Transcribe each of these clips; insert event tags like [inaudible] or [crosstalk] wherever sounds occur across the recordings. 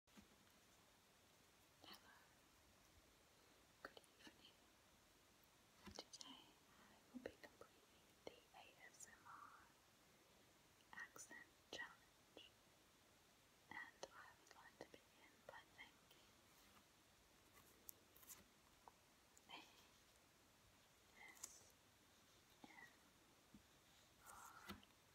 Hello, good evening. Today I will be completing the ASMR Accent Challenge, and I would like to begin by thanking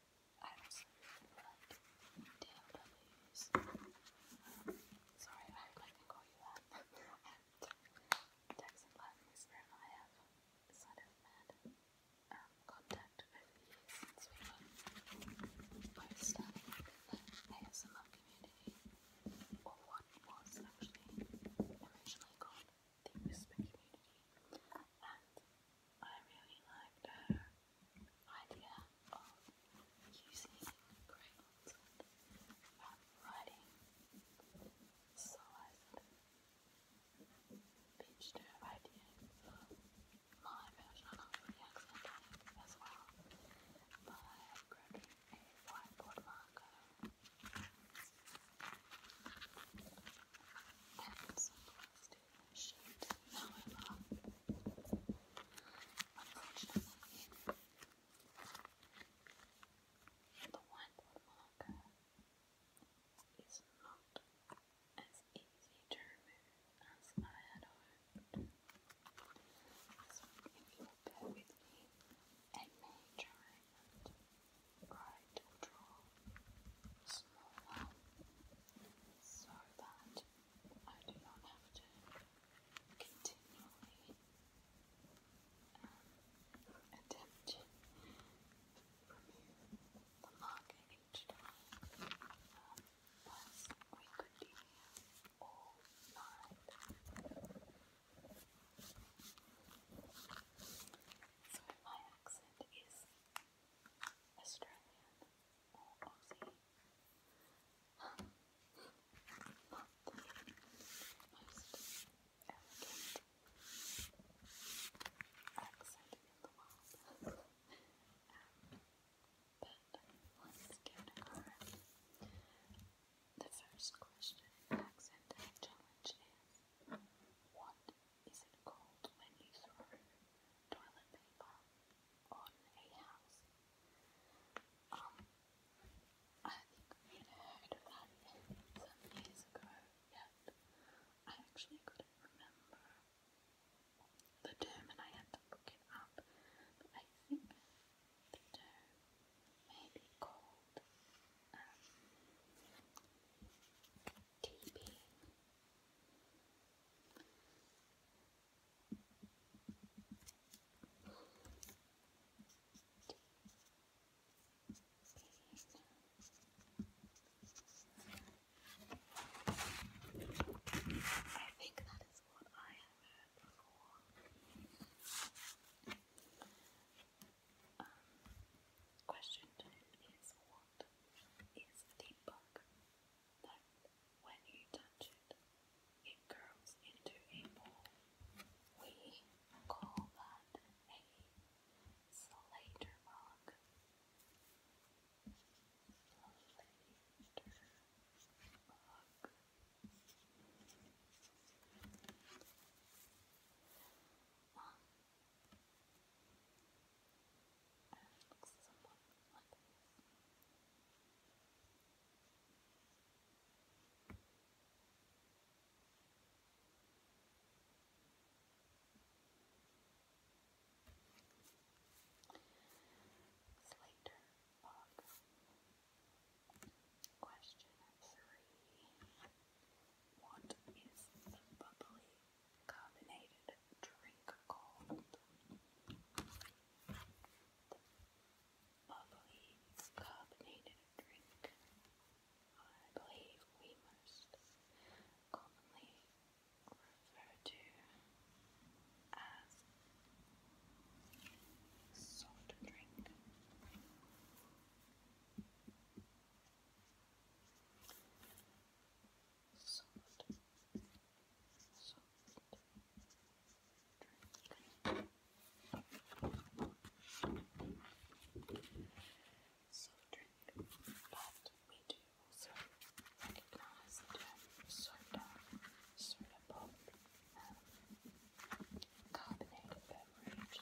I absolutely loved TLWs. Um, sorry, I hope I call you that. and Texan Latin is where I have sort of had contact over the years since we were both starting the ASMR community, what was actually originally called the whisper community, and I really liked her idea of using crayons and writing. So I sort pitched her idea for my version of the accent as well by grabbing a whiteboard marker. And some plastic shaped flower the whiteboard marker is not as easy to remove as I had hoped. So if you'll bear with me, I may try to draw smaller so that I do not have to continually um, attempt to remove the marker each time. Um, we could be here So my accent is Australian or Aussie. Not the most elegant accent in the world. um, but let's give it a go. The first question in accent challenge is what is it cold when you throw toilet paper on a house? Um, I think we had heard of that some years ago, yet I actually couldn't remember the term and I had to look it up. But I think the term may be called um, keeping I think that is what I have heard before. Um, question two is wand is the bug that when you touch it, it curls into a ball. We call that a slater bug. And it Slater Bog. Question three. What is bubbly carbonated drink called the bubbly carbonated drink. I believe we most commonly refer to as soft drink soft, soft but we do also recognize soda, soda pop, um, carbonated beverage.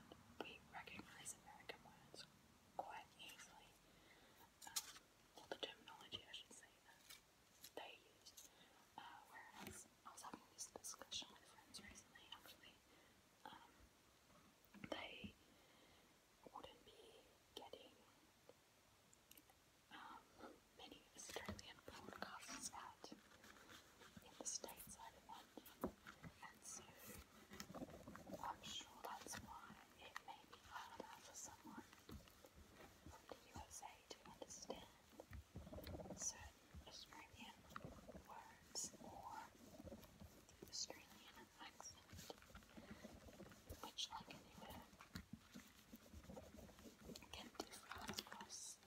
we recognize American words quite easily, um, the terminology I should say they uh, whereas I was having this discussion with friends recently, actually, um, they wouldn't be getting um, many Australian broadcasts out in the states either and so I'm sure that's why it may be harder for someone from the USA to understand certain Australian words or Australian accent, which, like anywhere, can differ across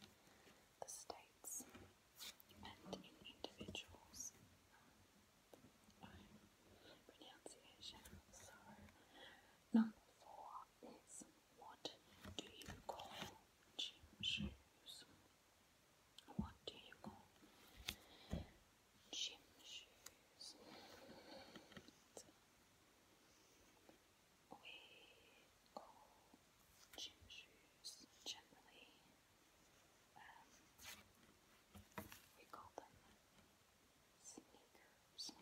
the states and in individuals. Um, pronunciation. So, number four is what do you call gym shoes? What do you call gym shoes? gold gym shoes generally. Um, we call them sneakers. Sneakers.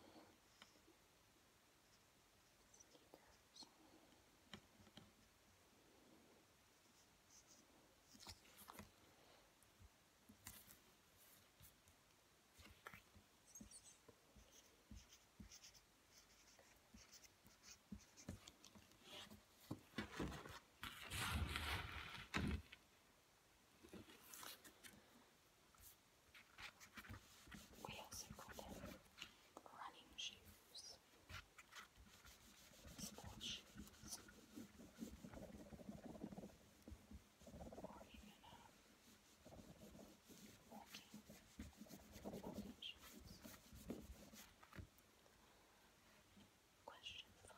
Sneakers. We also call running shoes, sports shoes, or even uh, walking, walking shoes. Question 5.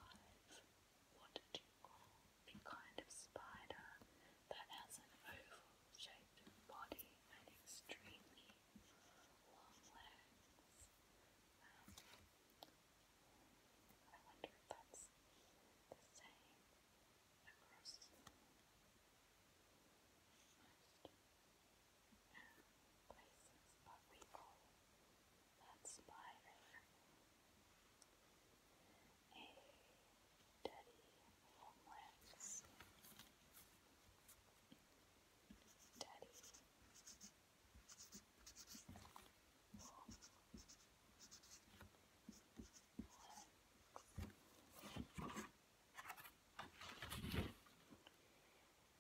What do you call the kind of spider that has an oval shaped body and extremely long legs? Um, I wonder if that's the same across places, but we call that spider a dirty homeland. Daddy.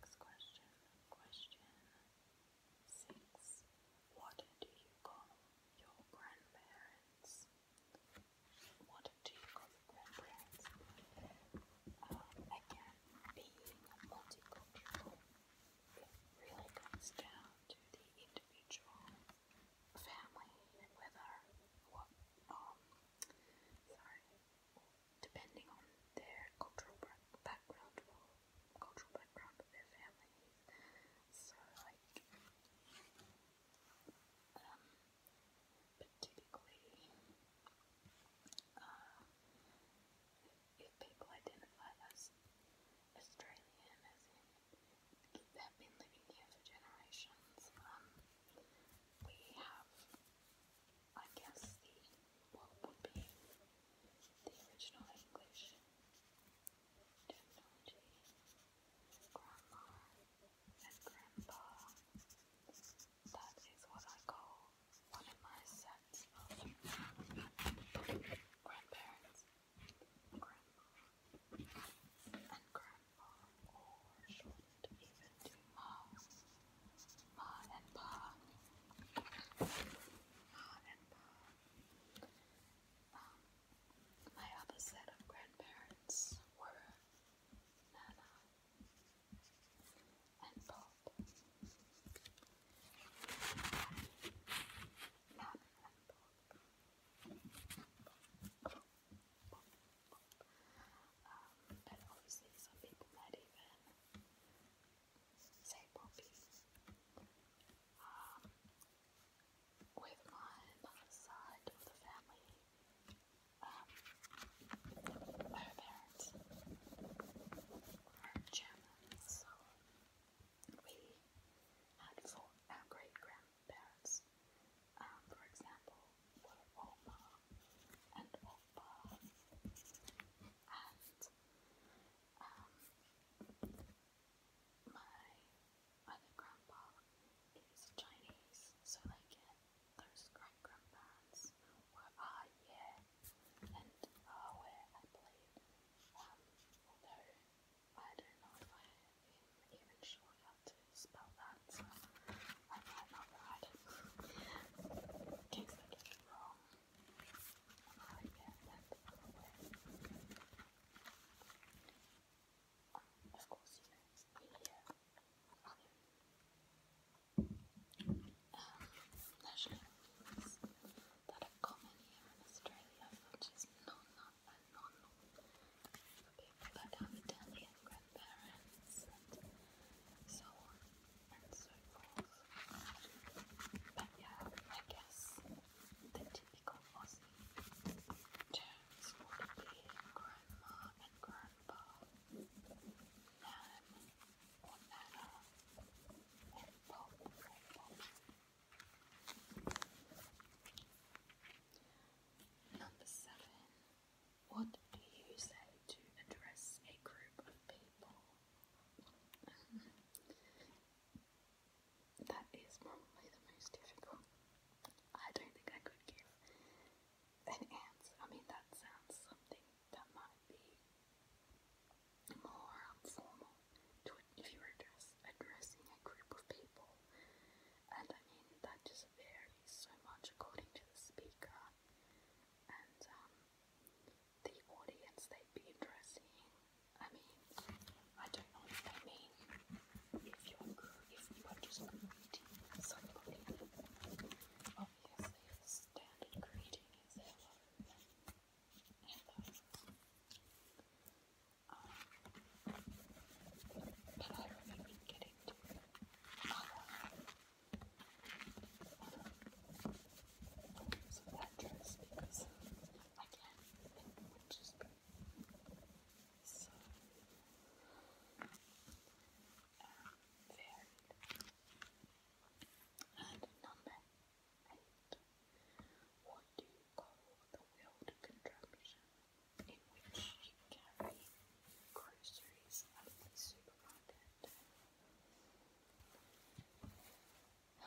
Next question. Question six. What do you call your grandparents? What do you call your grandparents? Uh, again, being multicultural, it really comes down to the individual family whether what um sorry depending on their cultural background cultural background their families. So, like, um, but typically, uh, if people identify as Australian, as in have been living here for generations, um, we have I guess the what would be the original English terminology. Grandma and grandpa. That is what I call one of my sets of grandparents. Grandma and grandpa, or even to mom. Ma and Pa. Ma and Pa. my other set of grandparents were Nana and Bob. Nana and Bob. Um, and obviously some people might even say Poppy, um, with my side of the family, um, parents were German, so we had four, great grandparents, um, for example, were Oma and Opa and um, my other grandpa is Chinese, so they those great grandparents were ah yeah and ah where I believe. Um, although I don't I am even sure how to spell that, I might not write [laughs] it I of course, you know, it's the uh, other um, national foods here in Australia, which non-nut grandparents so and so forth. But yeah, I guess the typical Aussie terms would be grandma and grandpa, nan or nana, and pop or pop. Number seven. What do you say to address a group of people that is probably the most difficult. I don't think I could give an answer. I mean, that sounds something that might be more formal to if you were address, addressing a group of people. And I mean, that just varies so much according to the speaker. Um, the audience they'd be addressing. I mean, I don't know if they mean if you're if you are just greeting somebody. Obviously, standard greeting is hello. Um, but I have getting to so that dress is, again, just be And number eight, what do you call the wheeled contraption in which you carry groceries at the supermarket? Call that a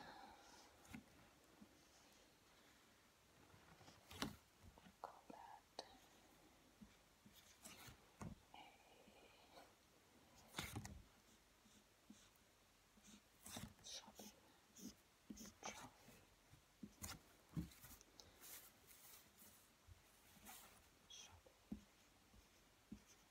shopping trolley. Shopping. Shopping.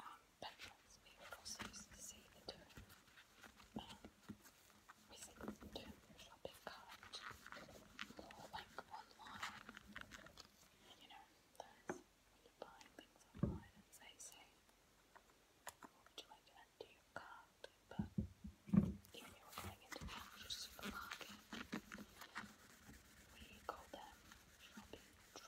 um, patrons, we also the term, we see shopping cart online, you know, those when things online and say, say, what would you like to your cart, but if you were going into the supermarket, we call them shopping Number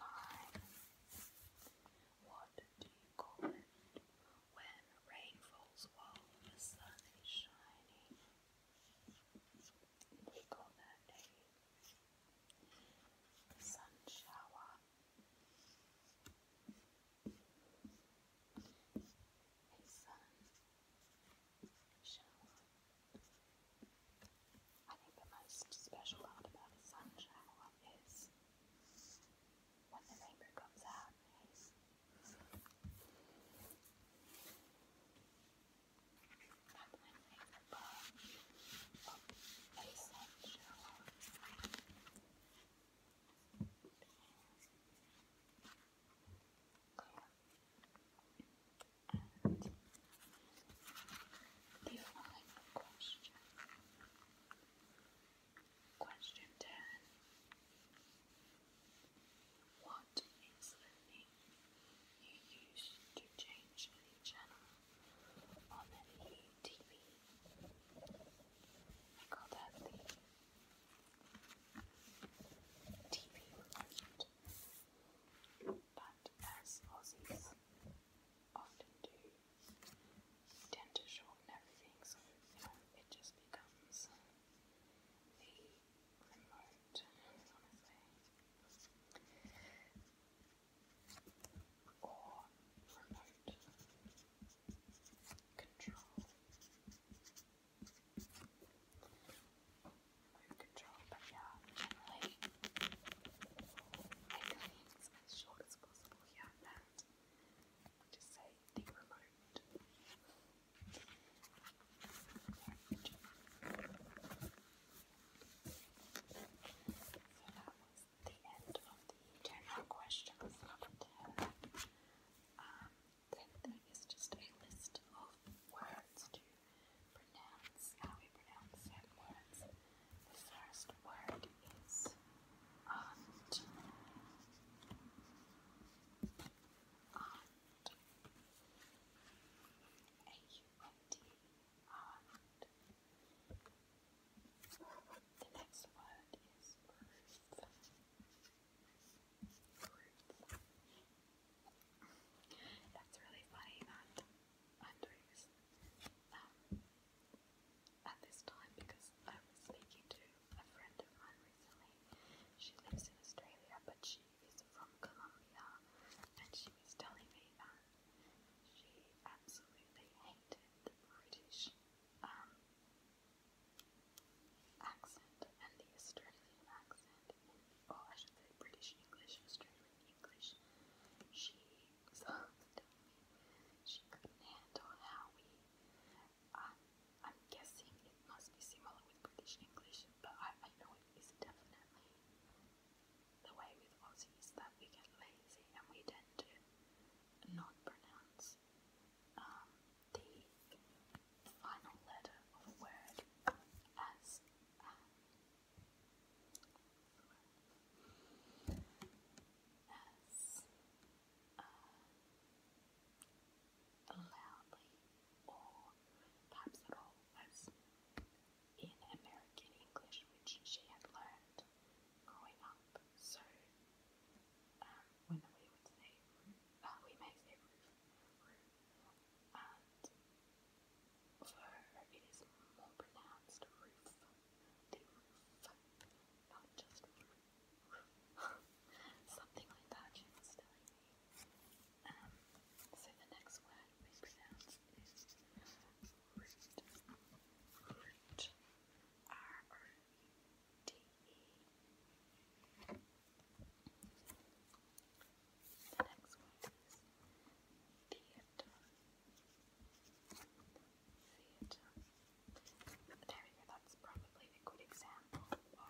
nine. What do you call it when rain falls while the sun is shining? We call that a sun shower a sun shower. I think the most special part about a sun shower is when the rainbow comes out. That's my favorite of a sun shower. And the final question. Question 10. What is the name you use to change the channel on the TV. I call that the TV remote. But as Aussies often do, we tend to shorten everything, so you it just becomes the remote, Or remote control. Move control, but yeah, generally I clean as short as possible here and just say the remote. So is the end of the general questions um, then there is just a list of words to pronounce, how we pronounce certain words. The first word is aunt. Aunt. A-U-N-T. Aunt. The next word is roof. That's really funny that i um, at this time because I was speaking to a friend of mine recently. She lives in Australia, but she is from Colombia, and she was telling me that she absolutely hated the British um, accent and the Australian accent, in, oh, I should say British English, Australian English, she was telling me she couldn't handle how we, um, I'm guessing it must be similar with British English, but I, I know it is definitely the way with Aussies that we get lazy and we tend to not pronounce is um, the final letter of a word as um, as uh, loudly or perhaps as in American English, which she had learned growing up. So um, when we would say uh, we may say roof, and for it is more pronounced roof, not just roof, [laughs] something like that she was telling me. Um, the next word we pronounce is root, D E. The next one is theater. Theater. That's probably a good example of the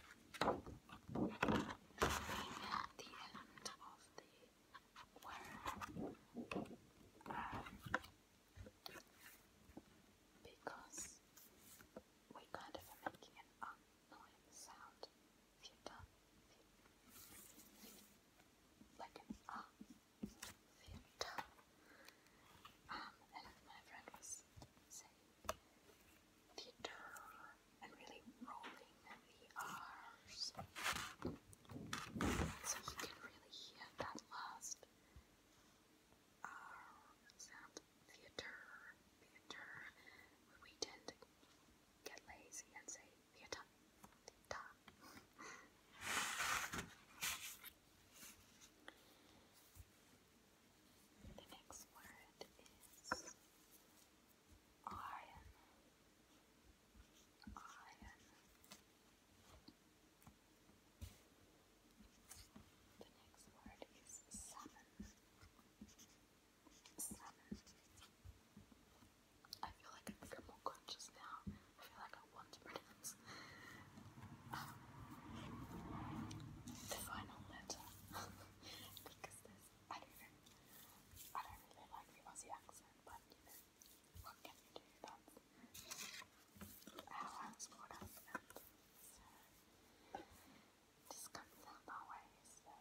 end of the word. Um, because we kind of are making an annoying sound if you like an ah, if um, and if my friend was saying theater and really rolling the R's, so you can really hear that last our sound theater, theater, we tend to get lazy and say theater, The next word is iron, iron, the next word is salmon. Salmon. I feel like I think i more conscious now. I feel like I want to pronounce. the final letter. because there's, I don't know, I don't really like the Aussie accent, but you know, what can you do? Everyone's bored just comes out my way. So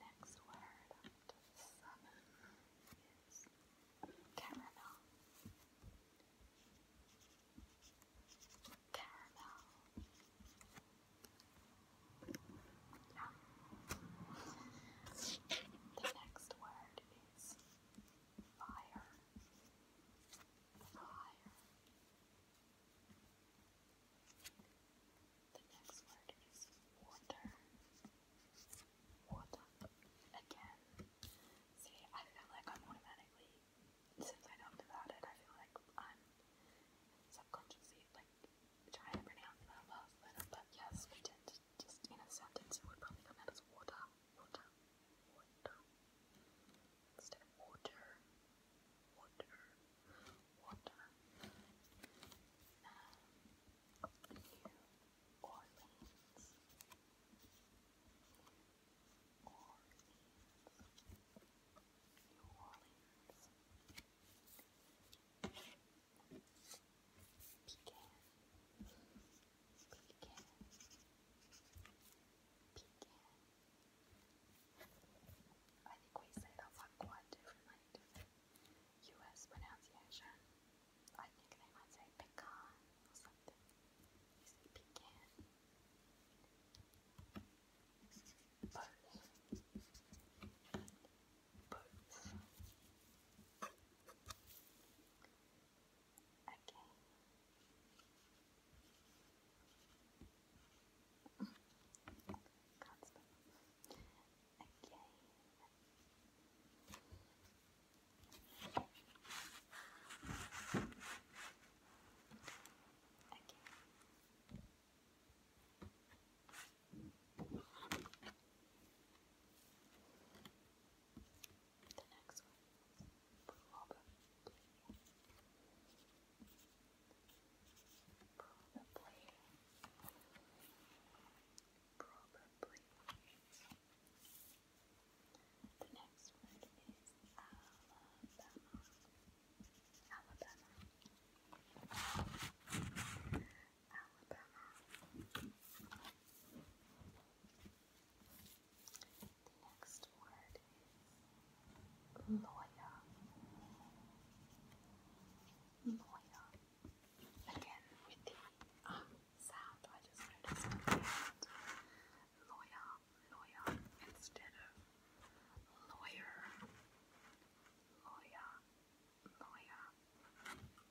next word Is caramel. Caramel. Yeah. The next word is fire. Fire. The next word is water. Water. Again. See, I feel like I'm automatically, since I talked about it, I feel like I'm subconsciously like trying to pronounce that last letter, but yes, we did just in a sentence, it would probably come out as water water, water, instead of water, water, water. Um, New Orleans, New Orleans, New Orleans. Pecan. Pecan. Pecan. I think we say that one quite differently US pronunciation. I think they might say pecan or something. You say pecan. Both. Both. Okay. Can't stop. Okay. Okay. Okay. The next one, probably, probably, probably. The next word is Alabama. Alabama. Alabama. The next word is lawyer. Lawyer. Again, with the um sound, I just noticed lawyer, lawyer, instead of lawyer, lawyer, lawyer.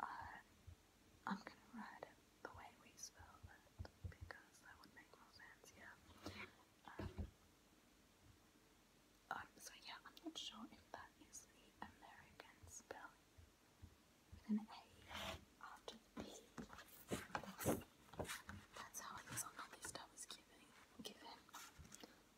Uh, I, am gonna write it the way we spell it because that would make more sense, yeah. Um, um so yeah, I'm not sure if that is the American spell with an A after the That's, how it is on all this stuff is given. given.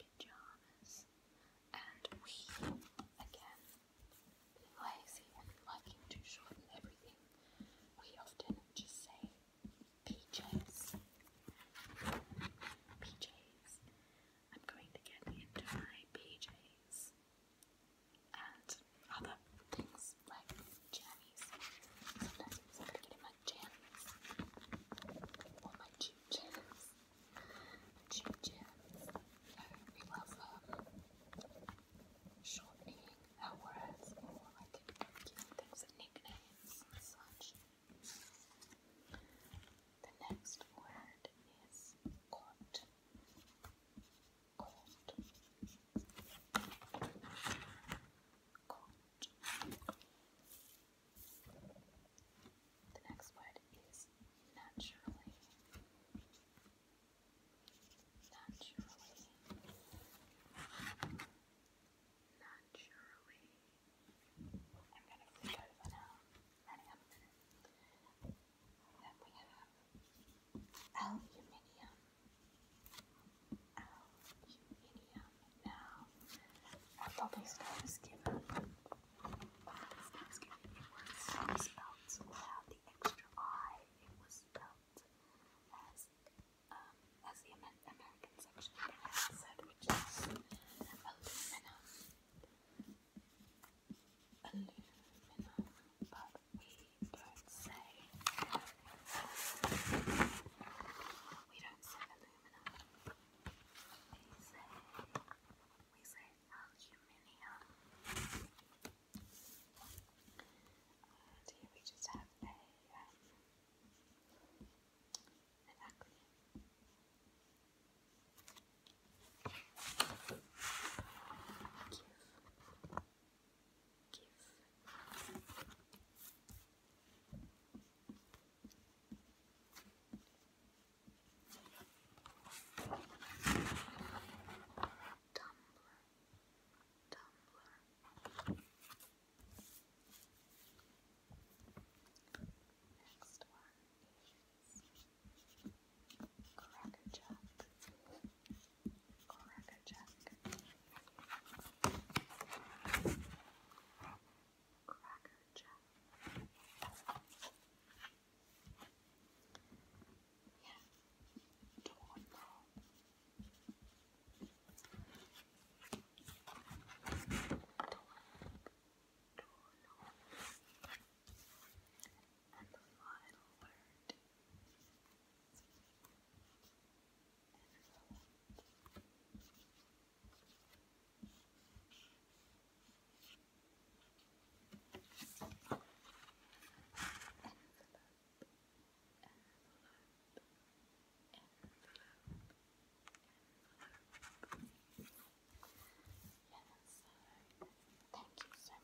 pajamas. And we, again, lazy and liking to shorten everything, we often just say PJs. PJs. I'm going to get into my PJs and other things like jammies. Sometimes I'm going my jammies or my two jammies. Choo-choo. We love um, shortening our words or like giving things nicknames such. The next word is court. Court. Court. The next word is naturally. Naturally. Naturally. I'm going to flip over now. Then we have aluminium. Aluminium. Now, I'll probably start this give this Thanksgiving, it was spelt without the extra I. It was spelt as um, as the American section said, which is aluminum. Aluminum, but we don't say. We don't say aluminum. We say we say aluminium. And here we just have a, um, Give. Give. Tumblr. Next one Cracker Jack. Cracker Jack. Cracker Jack. Yeah, don't want and the final word envelope envelope envelope thank you so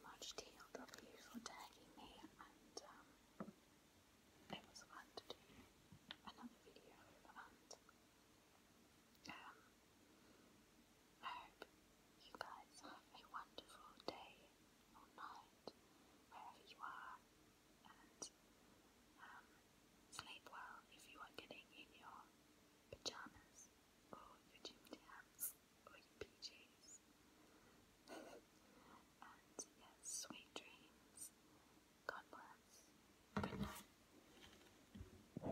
much, TLW, for tagging me, and um, it was fun to do another video, and um, I hope you guys have a wonderful day or night, wherever you are, and um, sleep well if you are getting in your pajamas or your gym jams or your PJs. [laughs] and yes, sweet dreams. God bless.